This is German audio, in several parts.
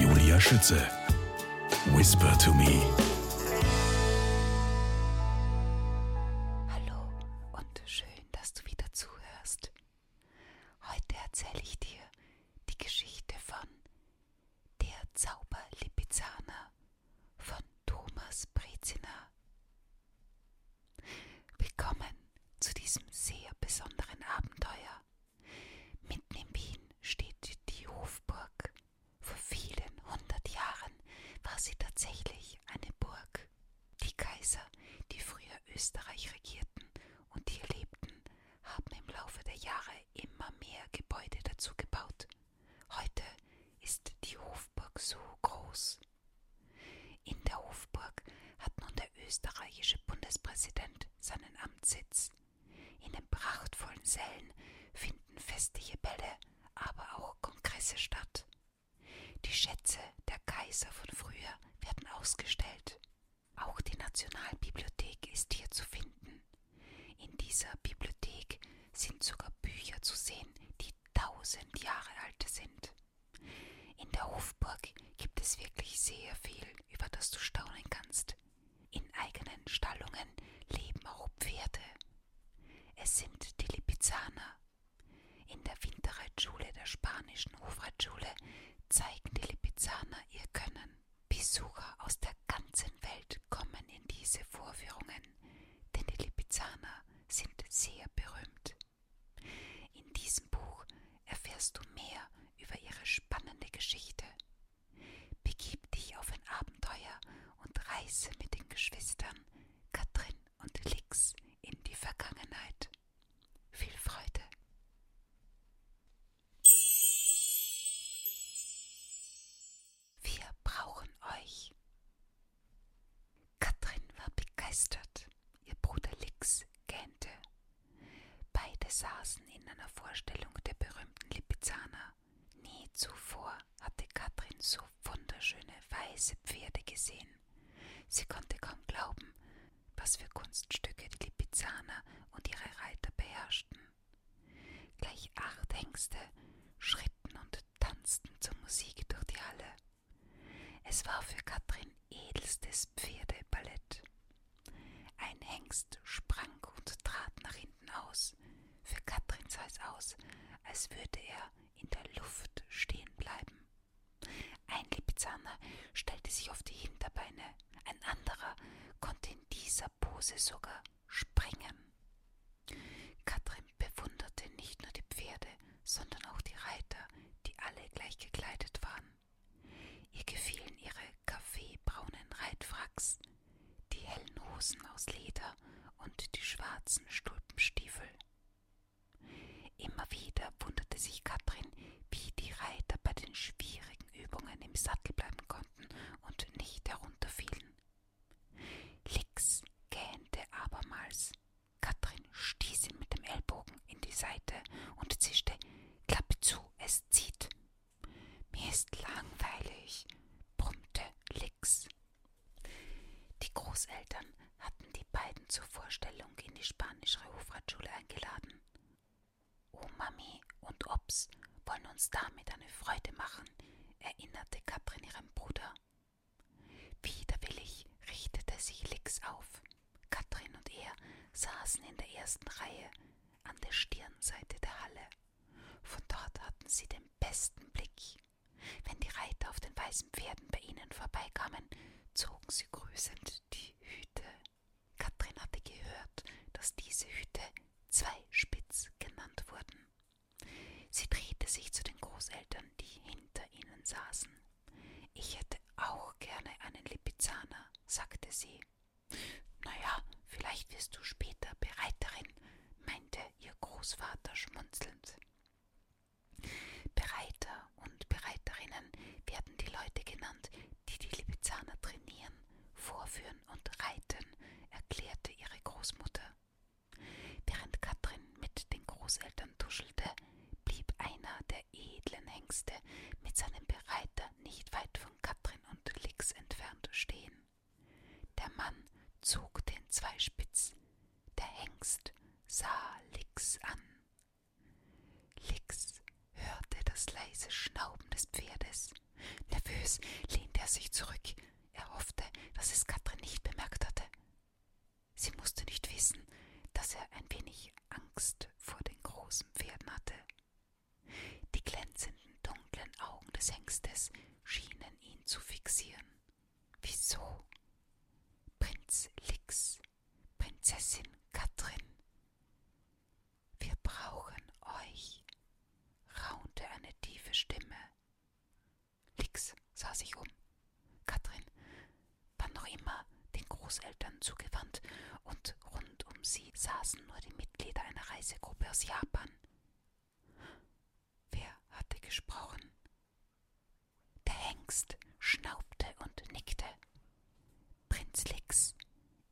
Julia Schütze. Whisper to me. Hallo und schön, dass du wieder zuhörst. Heute erzähle ich dir die Geschichte von Der Zauber Lipizzaner von Thomas Brezina. Willkommen zu diesem sehr besonderen Abenteuer. Mitten in Wien steht die Hofburg. Vor vielen hundert Jahren war sie tatsächlich eine Burg. Die Kaiser, die früher Österreich regierten und hier lebten, haben im Laufe der Jahre immer mehr Gebäude dazu gebaut. Heute ist die Hofburg so groß. In der Hofburg hat nun der österreichische Bundespräsident seinen Amtssitz. In den prachtvollen Sälen finden festliche Bälle, aber auch Kongresse statt. Die Schätze der Kaiser von früher werden ausgestellt. Auch die Nationalbibliothek ist hier zu finden. In dieser Bibliothek sind sogar Bücher zu sehen, die tausend Jahre alt sind. In der Hofburg gibt es wirklich sehr viel über das du staunen kannst. In eigenen Stallungen leben auch Pferde. Es sind die Lipizzaner. In der Winterreitschule der spanischen Hofreitschule zeigen die Lipizzaner ihr Können. Besucher aus der ganzen Welt kommen in diese Vorführungen, denn die Lipizzaner sind sehr berühmt. In diesem Buch erfährst du mehr über ihre spannende Geschichte. Begib dich auf ein Abenteuer und reise mit den Geschwistern Katrin und Lix in die Vergangenheit. Viel Freude! Wir brauchen euch. Katrin war begeistert, ihr Bruder Lix gähnte. Beide saßen in einer Vorstellung der berühmten Lipizzaner. Nie zuvor hatte Katrin so wunderschöne weiße Pferde gesehen. Sie konnte kaum glauben, was für Kunststücke die Lipizzaner und ihre Reiter beherrschten. Gleich acht Hengste schritten und tanzten zur Musik durch die Halle. Es war für Katrin edelstes Pferdeballett. Ein Hengst sprang und trat nach hinten aus. Für Katrin sah es aus, als würde er in der Luft stehen bleiben. Ein Lipizzaner stellte sich auf die Hinterbeine, ein anderer konnte in dieser Pose sogar springen. Katrin bewunderte nicht nur die Pferde, sondern auch die Reiter, die alle gleich gekleidet waren. Ihr gefielen ihre kaffeebraunen Reitfracks, die hellen Hosen aus Leder und die schwarzen Stulpenstiefel. Immer wieder wunderte sich Katrin, wie die Reiter bei den schwierigen Übungen im Sattel bleiben konnten und nicht herunterfielen. Lix gähnte abermals. Katrin stieß ihn mit dem Ellbogen in die Seite und zischte Klappe zu, es es zieht. Mir ist langweilig, brummte Lix. Die Großeltern hatten die beiden zur Vorstellung in die spanische Hofratschule eingeladen. Oh Mami und Ops wollen uns damit eine Freude machen, erinnerte Katrin ihrem Bruder. Widerwillig richtete sich Lix auf. Katrin und er saßen in der ersten Reihe an der Stirnseite der Halle. Von dort hatten sie den besten Blick. Wenn die Reiter auf den weißen Pferden bei ihnen vorbeikamen, zogen sie grüßend die Hüte. Katrin hatte gehört, dass diese Hüte zwei Spitz genannt wurden. Sie drehte sich zu den Großeltern, die hinter ihnen saßen. Ich hätte auch gerne einen Lipizzaner, sagte sie. Naja, vielleicht wirst du später Bereiterin, meinte ihr Großvater schmunzelnd. Bereiter und Bereiterinnen werden die Leute genannt, die die Lipizzaner trainieren, vorführen und reiten, erklärte ihre Großmutter. Während Katrin mit den Großeltern tuschelte, blieb einer der edlen Hengste mit seinem Bereiter Fenster nicht weit von Katrin und Lix entfernt stehen. Der Mann zog den Zweispitz. Der Hengst sah Lix an. Lix hörte das leise Schnauben des Pferdes. Nervös lehnte er sich zurück. Er hoffte, dass es Katrin nicht bemerkt hatte. Sie musste nicht wissen, dass er ein wenig Angst vor den großen Pferden hatte. Die glänzenden dunklen Augen des Hengstes schienen ihn zu fixieren. Wieso? Prinz Lix, Prinzessin Katrin. Wir brauchen euch, raunte eine tiefe Stimme. Lix sah sich um. Katrin war noch immer den Großeltern zugewandt, und rund um sie saßen nur die Mitglieder einer Reisegruppe aus Japan. Wer hatte gesprochen? Der Hengst schnaubte und nickte. Prinz Lix,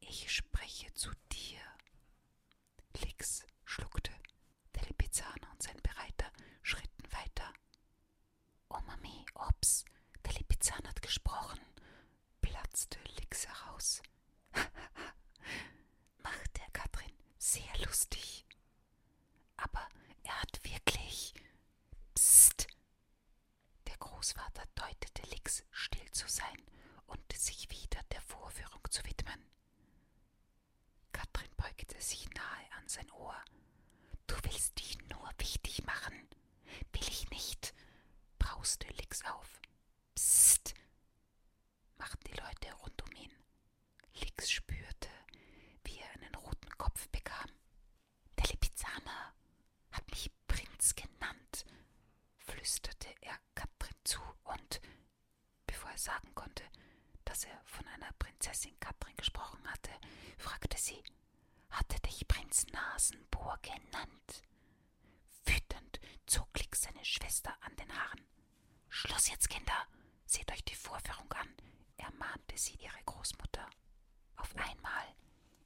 ich spreche zu dir. Lix schluckte. Der Lipizzaner und sein Bereiter schritten weiter. Omami, Ops, der Lipizzaner hat gesprochen, platzte Lix heraus. Macht der Katrin sehr lustig. Aber er hat wirklich. Psst! Der Großvater deutete Lix, still zu sein und sich wieder der Vorführung zu widmen. Katrin beugte sich nahe an sein Ohr. Du willst dich nur wichtig machen. Will ich nicht, brauste Lix auf. Psst, machten die Leute rund um ihn. Lix spürte, wie er einen roten Kopf bekam. Der Lipizzaner hat mich Prinz genannt, flüsterte er Katrin zu und, bevor er sagen konnte, dass er von einer Prinzessin Katrin gesprochen hatte, fragte sie, hatte dich Prinz Nasenbohr genannt. Wütend zog Klick seine Schwester an den Haaren. Schluss jetzt, Kinder! Seht euch die Vorführung an! ermahnte sie ihre Großmutter. Auf einmal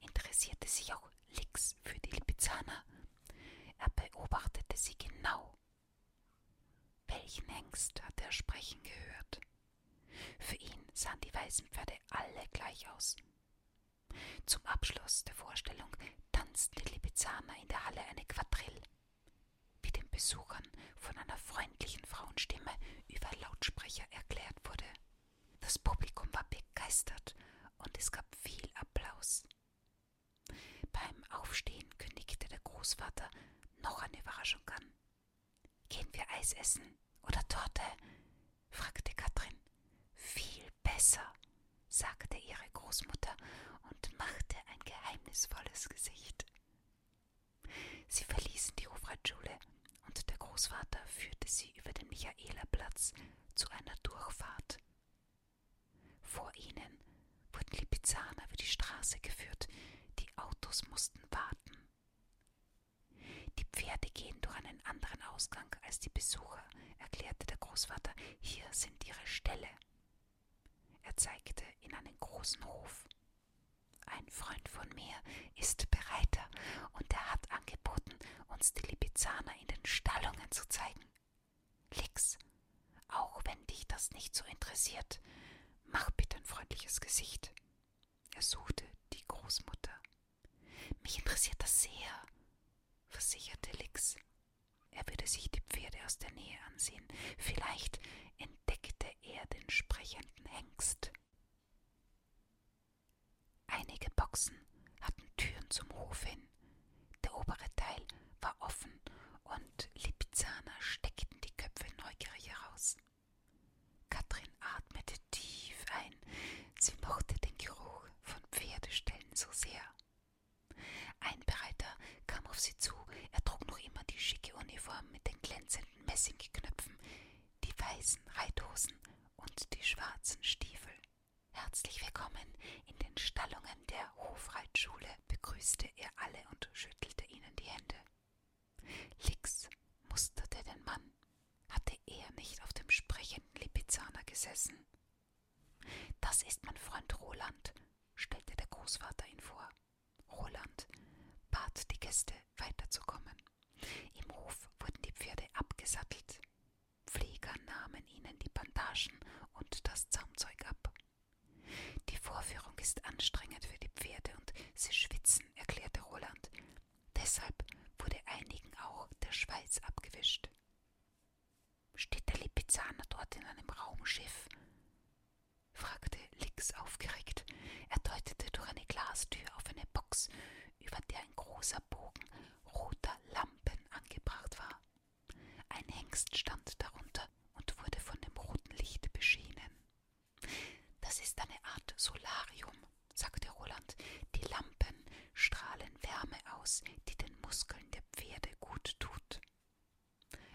interessierte sich auch Lix für die Lipizzaner. Er beobachtete sie genau. Welchen Hengst hatte er sprechen gehört? Für ihn sahen die weißen Pferde alle gleich aus. Zum Abschluss der Vorstellung tanzte Lipizzaner in der Halle eine Quadrille, wie den Besuchern von einer freundlichen Frauenstimme über Lautsprecher erklärt wurde. Das Publikum war begeistert und es gab viel Applaus. Beim Aufstehen kündigte der Großvater noch eine Überraschung an. Gehen wir Eis essen oder Torte? fragte Katrin. Viel besser, sagte ihre Großmutter und machte ein geheimnisvolles Gesicht. Sie verließen die Hofreitschule und der Großvater führte sie über den Michaelerplatz zu einer Durchfahrt. Vor ihnen wurden Lipizzaner über die Straße geführt, die Autos mussten warten. Die Pferde gehen durch einen anderen Ausgang als die Besucher, erklärte der Großvater. Hier sind ihre Ställe. Er zeigte in einen großen Hof. Ein Freund von mir ist Bereiter und er hat angeboten, uns die Lipizzaner in den Stallungen zu zeigen. Lix, auch wenn dich das nicht so interessiert, mach bitte ein freundliches Gesicht. Er suchte die Großmutter mich interessiert das sehr, versicherte Lix. Er würde sich die Pferde aus der Nähe ansehen. Vielleicht entdeckte er den sprechenden Hengst. Einige Boxen hatten Türen zum Hof hin. Der obere Teil war offen und Lipizzaner steckten die Köpfe neugierig heraus. Katrin atmete tief ein. Sie mochte den Geruch von Pferdeställen so sehr. Ein Bereiter kam auf sie zu. Er trug noch immer die schicke Uniform mit den glänzenden Messingknöpfen, die weißen Reithosen und die schwarzen Stiefel. Herzlich willkommen in den Stallungen der Hofreitschule, begrüßte er alle und schüttelte ihnen die Hände. Lix musterte den Mann hatte er nicht auf dem sprechenden Lipizzaner gesessen? Das ist mein Freund Roland, stellte der Großvater ihn vor. Roland bat die Gäste, weiterzukommen. Im Hof wurden die Pferde abgesattelt. Pfleger nahmen ihnen die Bandagen und das Zaumzeug ab. Die Vorführung ist anstrengend für die Pferde und sie schwitzen, erklärte Roland. Deshalb wurde einigen auch der Schweiz abgewischt. Steht der Lipizzaner dort in einem Raumschiff? fragte Lix aufgeregt. Er deutete durch eine Glastür auf eine Box, über der ein großer Bogen roter Lampen angebracht war. Ein Hengst stand darunter und wurde von dem roten Licht beschienen. Das ist eine Art Solarium, sagte Roland, die Lampen strahlen Wärme aus, die den Muskeln der Pferde gut tut.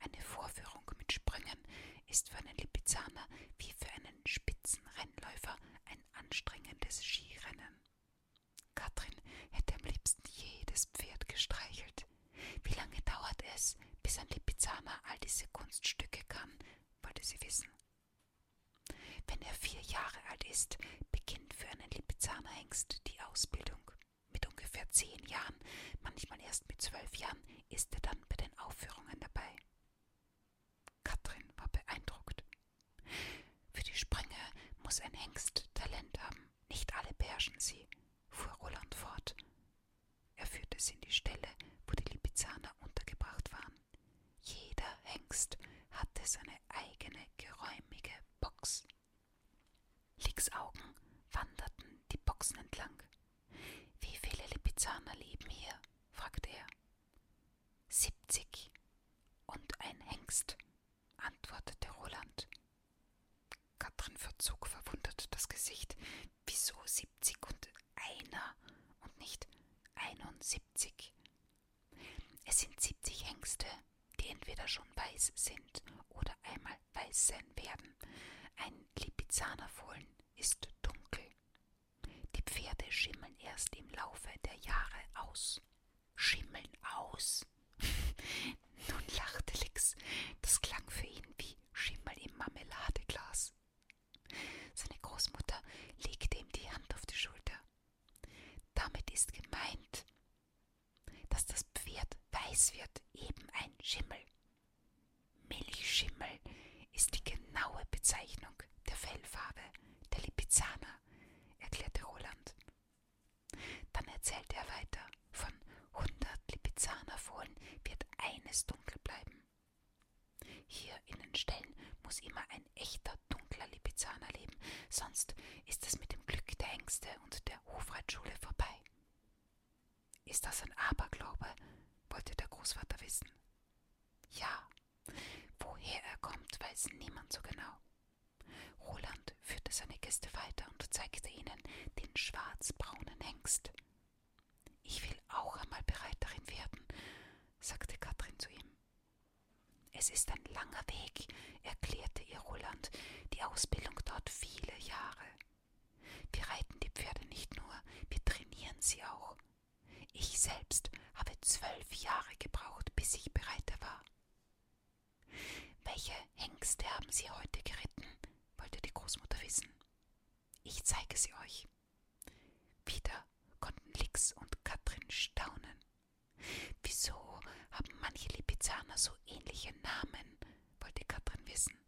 Eine Vorführung mit Springen ist für einen Lipizzaner wie für einen Spitzenrennläufer ein anstrengendes Skirennen. Katrin hätte am liebsten jedes Pferd gestreichelt. Wie lange dauert es, bis ein Lipizzaner all diese Kunststücke kann, wollte sie wissen. Wenn er vier Jahre alt ist, beginnt für einen Lipizzaner Hengst die Ausbildung. Mit ungefähr zehn Jahren, manchmal erst mit zwölf Jahren, ist er dann bei den Aufführungen dabei. Katrin war beeindruckt. Für die Sprünge muss ein Hengst Talent haben. Nicht alle beherrschen sie, fuhr Roland fort. Er führte sie in die Stelle, wo die Lipizzaner untergebracht waren. Jeder Hengst hatte seine eigene geräumige Box. Licks Augen wanderten die Boxen entlang. Wie viele Lipizzaner leben hier? fragte er. Siebzig und ein Hengst, antwortete Roland. Katrin verzog verwundert das Gesicht. Wieso siebzig und einer und nicht einundsiebzig? Es sind 70 Hengste, die entweder schon weiß sind oder einmal weiß sein werden. Ein Lipizzaner Fohlen ist dunkel. Die Pferde schimmeln erst im Laufe der Jahre aus. Schimmeln aus? Nun lachte Lix. Das klang für ihn wie Schimmel im Marmeladeglas. Seine Großmutter legte ihm die Hand auf die Schulter. Damit ist gemeint, dass das Pferd weiß wird, eben ein Schimmel. Milchschimmel ist die genaue Bezeichnung der Fellfarbe der Lipizzaner, erklärte Roland. Dann erzählte er weiter, von 100 Lipizzaner Fohlen wird eines dunkel bleiben. Hier in den Ställen muss immer ein echter dunkler Lipizzaner leben, sonst ist es mit dem Glück der Ängste und der Hofreitschule vorbei. Ist das ein Aberglaube? wollte der Großvater wissen. Ja, woher er kommt, weiß niemand so genau. Roland führte seine Gäste weiter und zeigte ihnen den schwarzbraunen Hengst. Ich will auch einmal Bereiterin werden, sagte Katrin zu ihm. Es ist ein langer Weg, erklärte ihr Roland, die Ausbildung dort viele Jahre. Wir reiten die Pferde nicht nur, wir trainieren sie auch. Ich selbst habe zwölf Jahre gebraucht, bis ich bereit war. Welche Hengste haben Sie heute geritten? wollte die Großmutter wissen. Ich zeige sie euch. Wieder konnten Lix und Katrin staunen. Wieso haben manche Lipizzaner so ähnliche Namen? wollte Katrin wissen.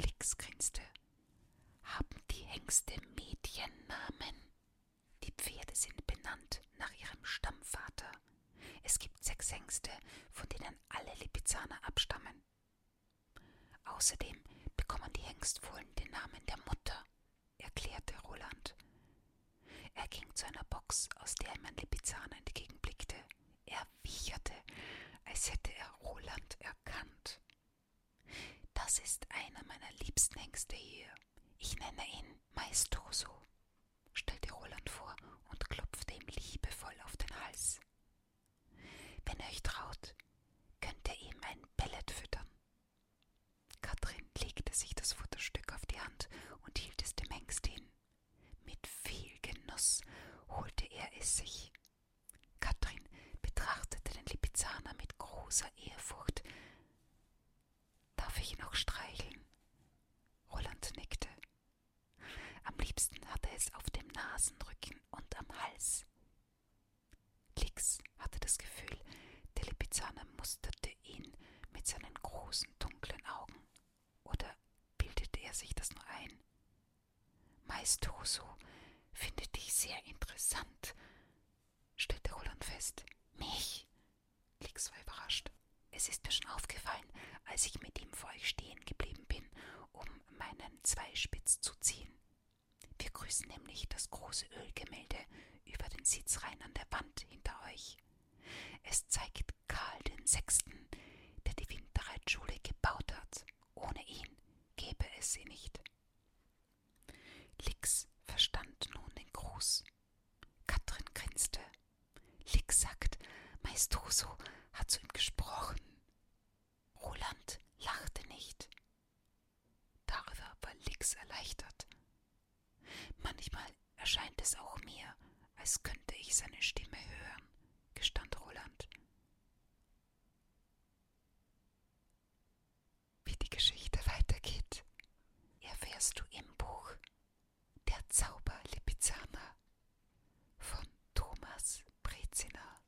Lix grinste. Haben die Hengste Mediennamen? Die Pferde sind benannt nach ihrem Stammvater. Es gibt sechs Hengste, von denen alle Lipizzaner abstammen. Außerdem bekommen die Hengstfohlen den Namen der Mutter, erklärte Roland. Er ging zu einer Box, aus der ihm ein Lipizzaner entgegenblickte. Er wiecherte, als hätte er Roland erkannt. Das ist einer meiner liebsten Hengste hier. Ich nenne ihn Maestoso, stellte Roland vor und klopfte ihm liebevoll auf den Hals. Wenn ihr euch traut, könnt ihr ihm ein Pellet füttern, Katrin legte sich das Futterstück auf die Hand und hielt es dem Hengst hin. Mit viel Genuss holte er es sich. Katrin betrachtete den Lipizzaner mit großer Ehrfurcht. Darf ich ihn auch streicheln? Roland nickte. Am liebsten hatte es auf dem Nasenrücken und am Hals. Lix hatte das Gefühl, der Lipizzaner musterte ihn mit seinen großen, dunklen Augen. Oder bildete er sich das nur ein? Meistoso finde dich sehr interessant, stellte Roland fest. Mich? Lix war überrascht. Es ist mir schon aufgefallen, als ich mit ihm vor euch stehen geblieben bin, um meinen Zweispitz zu ziehen. Wir grüßen nämlich das große Ölgemälde über den Sitzreihen an der Wand hinter euch. Es zeigt Karl den Sechsten, der die Winterreitschule gebaut hat. Ohne ihn gäbe es sie nicht. Lix verstand nun den Gruß. Katrin grinste. Lix sagt, Meistoso hat zu ihm gesprochen. Roland lachte nicht. Darüber war Lix erleichtert. Manchmal erscheint es auch mir, als könnte ich seine Stimme hören, gestand Roland. Wie die Geschichte weitergeht, erfährst du im Buch Der Zauber Lipizzaner von Thomas Brezina.